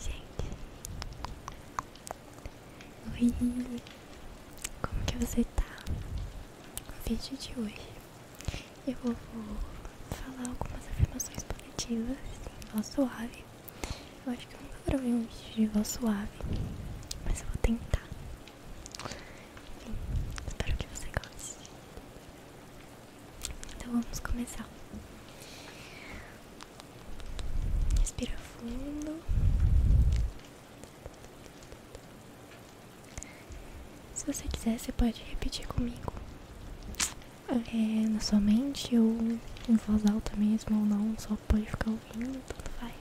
Gente, oi, como que você tá? No vídeo de hoje eu vou falar algumas afirmações positivas em voz suave. Eu acho que eu nunca gravei um vídeo de voz suave, mas eu vou tentar. Enfim, espero que você goste. Então vamos começar. Respira fundo. Se você quiser, você pode repetir comigo. É, na sua mente ou em voz alta mesmo ou não, só pode ficar ouvindo, tudo faz.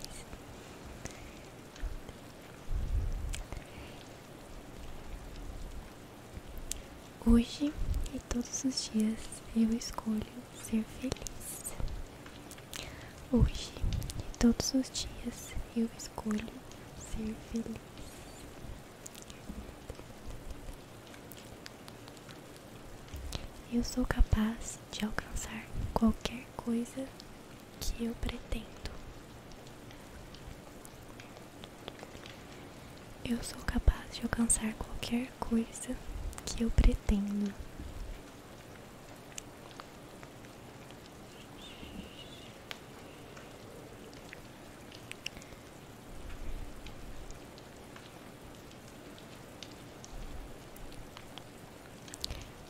Hoje e todos os dias eu escolho ser feliz. Hoje e todos os dias eu escolho ser feliz. Eu sou capaz de alcançar qualquer coisa que eu pretendo. Eu sou capaz de alcançar qualquer coisa que eu pretendo.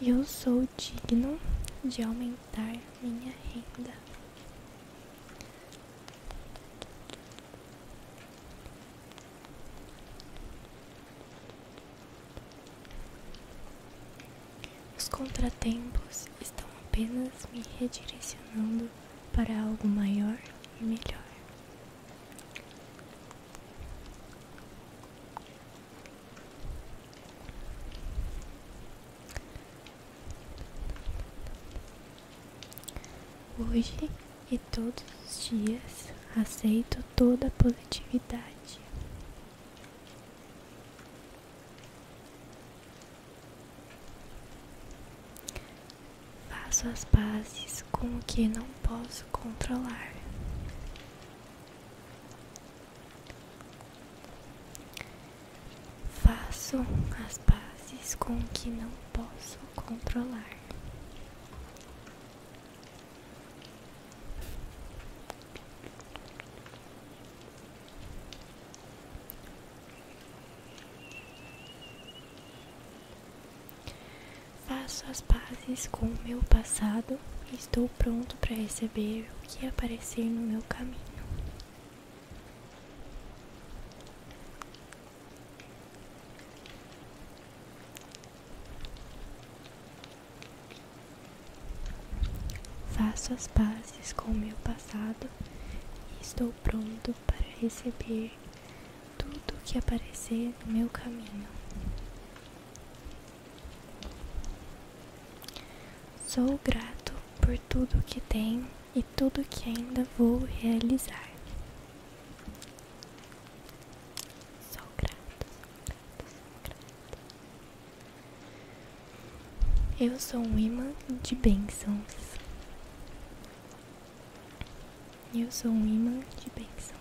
Eu sou digno de aumentar minha renda. Os contratempos estão apenas me redirecionando para algo maior e melhor. Hoje e todos os dias aceito toda a positividade. Faço as pazes com o que não posso controlar. Faço as pazes com o que não posso controlar. Faço as pazes com o meu passado e estou pronto para receber o que aparecer no meu caminho. Faço as pazes com o meu passado e estou pronto para receber tudo que aparecer no meu caminho. Sou grato por tudo o que tenho e tudo que ainda vou realizar. Sou grato, sou Eu sou um imã de bênçãos. Eu sou um imã de bênçãos.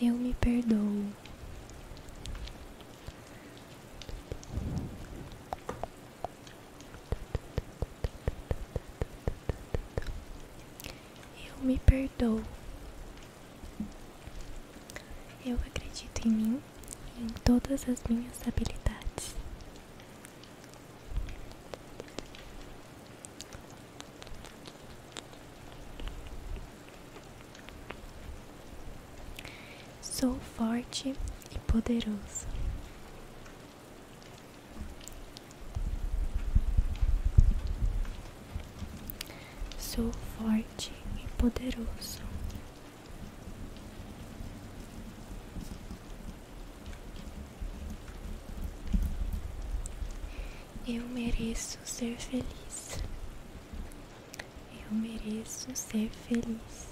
Eu me perdoo. Eu me perdoo. Eu acredito em mim e em todas as minhas habilidades. Sou forte e poderoso. Sou forte e poderoso. Eu mereço ser feliz. Eu mereço ser feliz.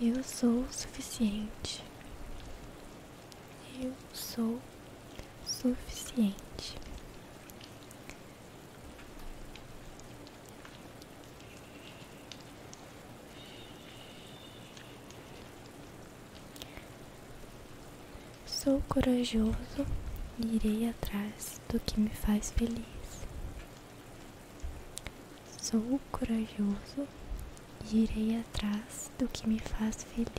Eu sou o suficiente. Eu sou suficiente. Sou corajoso irei atrás do que me faz feliz. Sou corajoso irei atrás do que me faz feliz.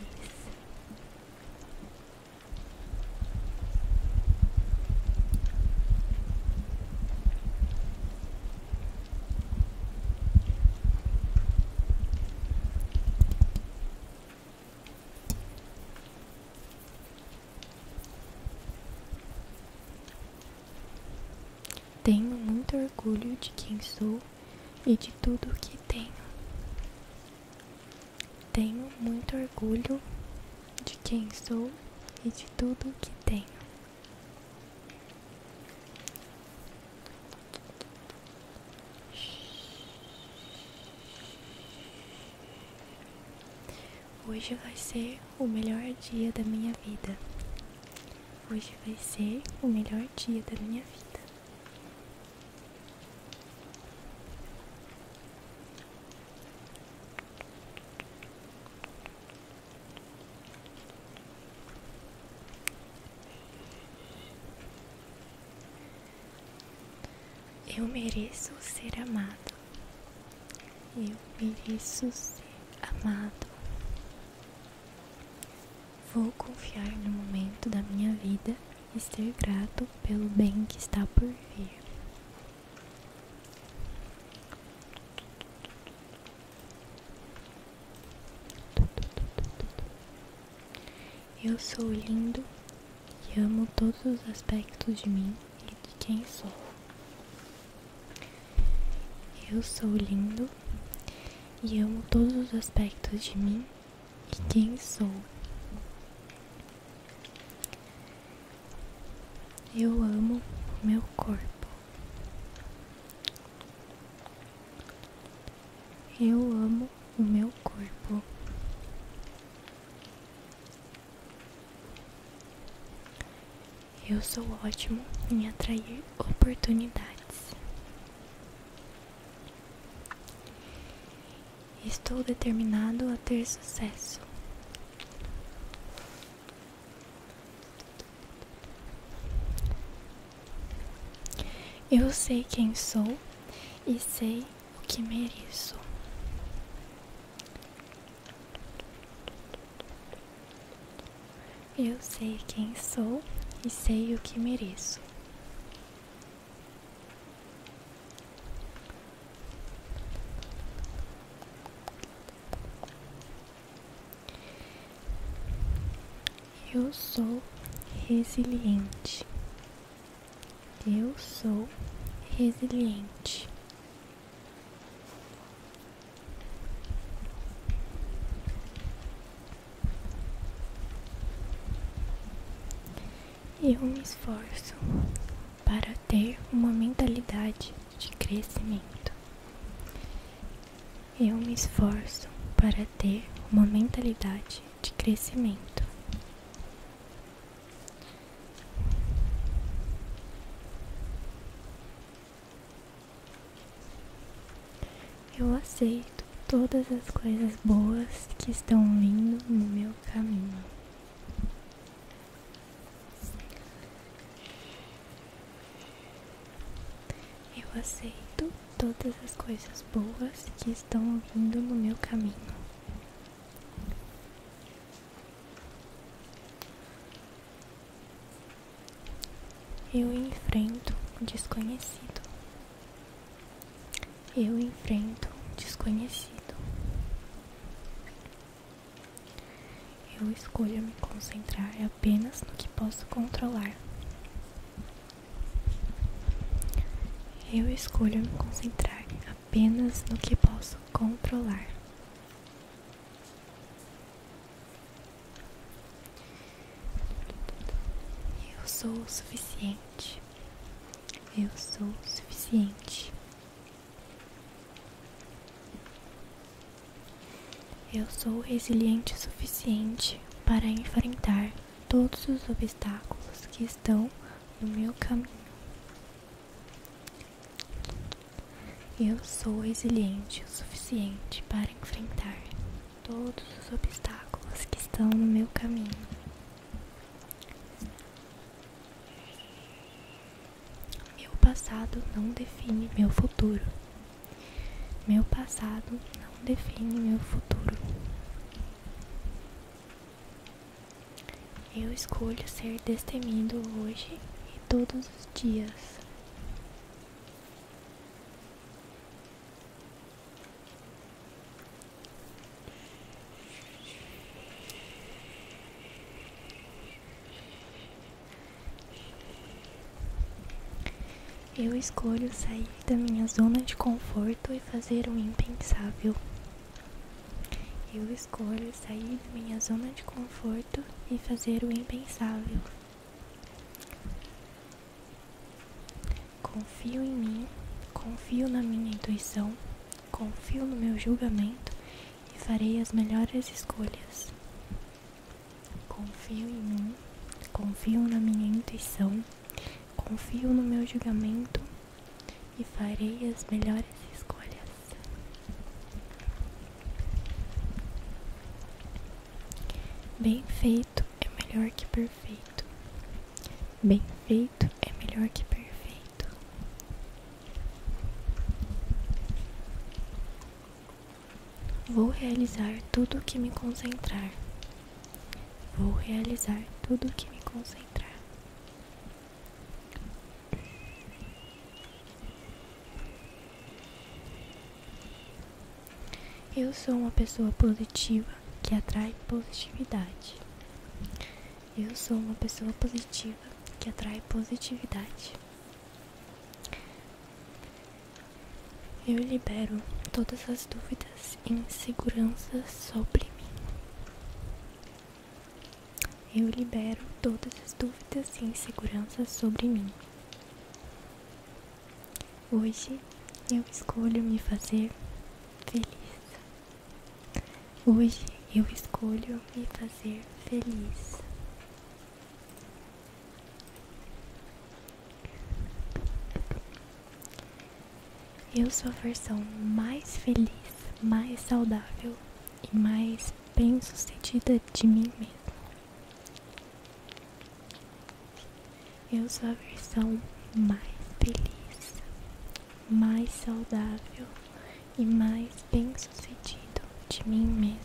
Tenho muito orgulho de quem sou e de tudo que tenho. Tenho muito orgulho de quem sou e de tudo que tenho. Hoje vai ser o melhor dia da minha vida. Hoje vai ser o melhor dia da minha vida. Eu mereço ser amado. Eu mereço ser amado. Vou confiar no momento da minha vida e ser grato pelo bem que está por vir. Eu sou lindo e amo todos os aspectos de mim e de quem sou. Eu sou lindo e amo todos os aspectos de mim e quem sou. Eu amo meu corpo. Eu amo o meu corpo. Eu sou ótimo em atrair oportunidades. Estou determinado a ter sucesso. Eu sei quem sou e sei o que mereço. Eu sei quem sou e sei o que mereço. Eu sou resiliente. Eu sou resiliente. Eu me esforço para ter uma mentalidade de crescimento. Eu me esforço para ter uma mentalidade de crescimento. Eu aceito todas as coisas boas que estão vindo no meu caminho. Eu aceito todas as coisas boas que estão vindo no meu caminho. Eu enfrento o desconhecido. Eu enfrento o desconhecido. Eu escolho me concentrar apenas no que posso controlar. Eu escolho me concentrar apenas no que posso controlar. Eu sou o suficiente. Eu sou o suficiente. Eu sou resiliente o suficiente para enfrentar todos os obstáculos que estão no meu caminho. Eu sou resiliente o suficiente para enfrentar todos os obstáculos que estão no meu caminho. Meu passado não define meu futuro. Meu passado não define meu futuro. Eu escolho ser destemido hoje e todos os dias. Eu escolho sair da minha zona de conforto e fazer o impensável. Eu escolho sair da minha zona de conforto e fazer o impensável. Confio em mim, confio na minha intuição, confio no meu julgamento e farei as melhores escolhas. Confio em mim, confio na minha intuição, confio no meu julgamento e farei as melhores escolhas. Bem feito é melhor que perfeito. Bem feito é melhor que perfeito. Vou realizar tudo o que me concentrar. Vou realizar tudo o que me concentrar. Eu sou uma pessoa positiva que atrai positividade. Eu sou uma pessoa positiva que atrai positividade. Eu libero todas as dúvidas e inseguranças sobre mim. Eu libero todas as dúvidas e inseguranças sobre mim. Hoje eu escolho me fazer feliz. Hoje eu escolho me fazer feliz. Eu sou a versão mais feliz, mais saudável e mais bem sucedida de mim mesma. Eu sou a versão mais feliz, mais saudável e mais bem sucedida de mim mesma.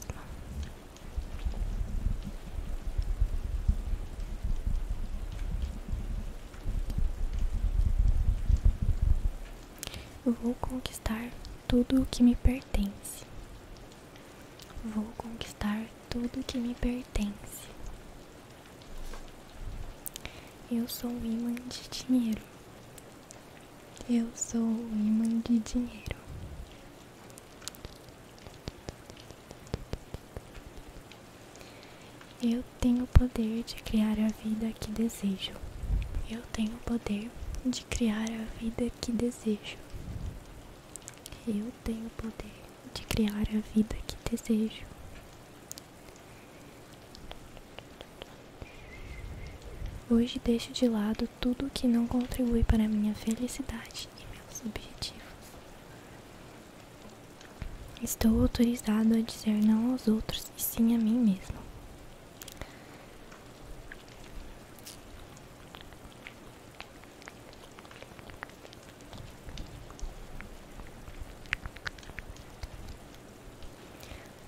Eu vou conquistar tudo o que me pertence. Vou conquistar tudo o que me pertence. Eu sou imã de dinheiro. Eu sou imã de dinheiro. Eu tenho o poder de criar a vida que desejo. Eu tenho o poder de criar a vida que desejo. Eu tenho o poder de criar a vida que desejo. Hoje deixo de lado tudo que não contribui para a minha felicidade e meus objetivos. Estou autorizado a dizer não aos outros e sim a mim mesmo.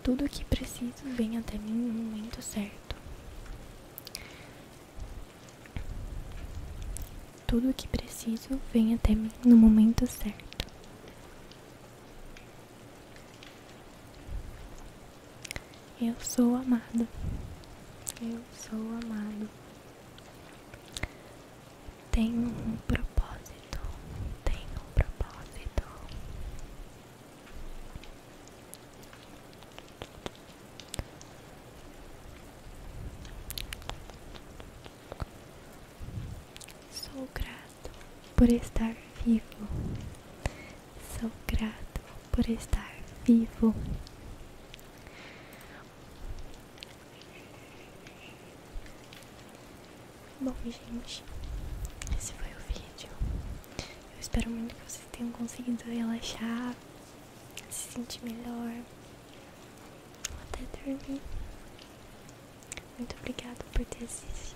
Tudo o que preciso vem até mim no momento certo. Tudo o que preciso vem até mim no momento certo. Eu sou amado. Eu sou amado. Tenho um propósito. Tenho um propósito. Sou grato por estar vivo. Sou grato por estar vivo. Bom, gente, esse foi o vídeo. Eu espero muito que vocês tenham conseguido relaxar, se sentir melhor, até dormir. Muito obrigado por ter assistido.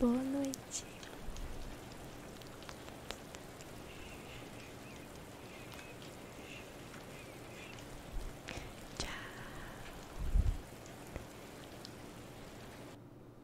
Boa noite. Tchau.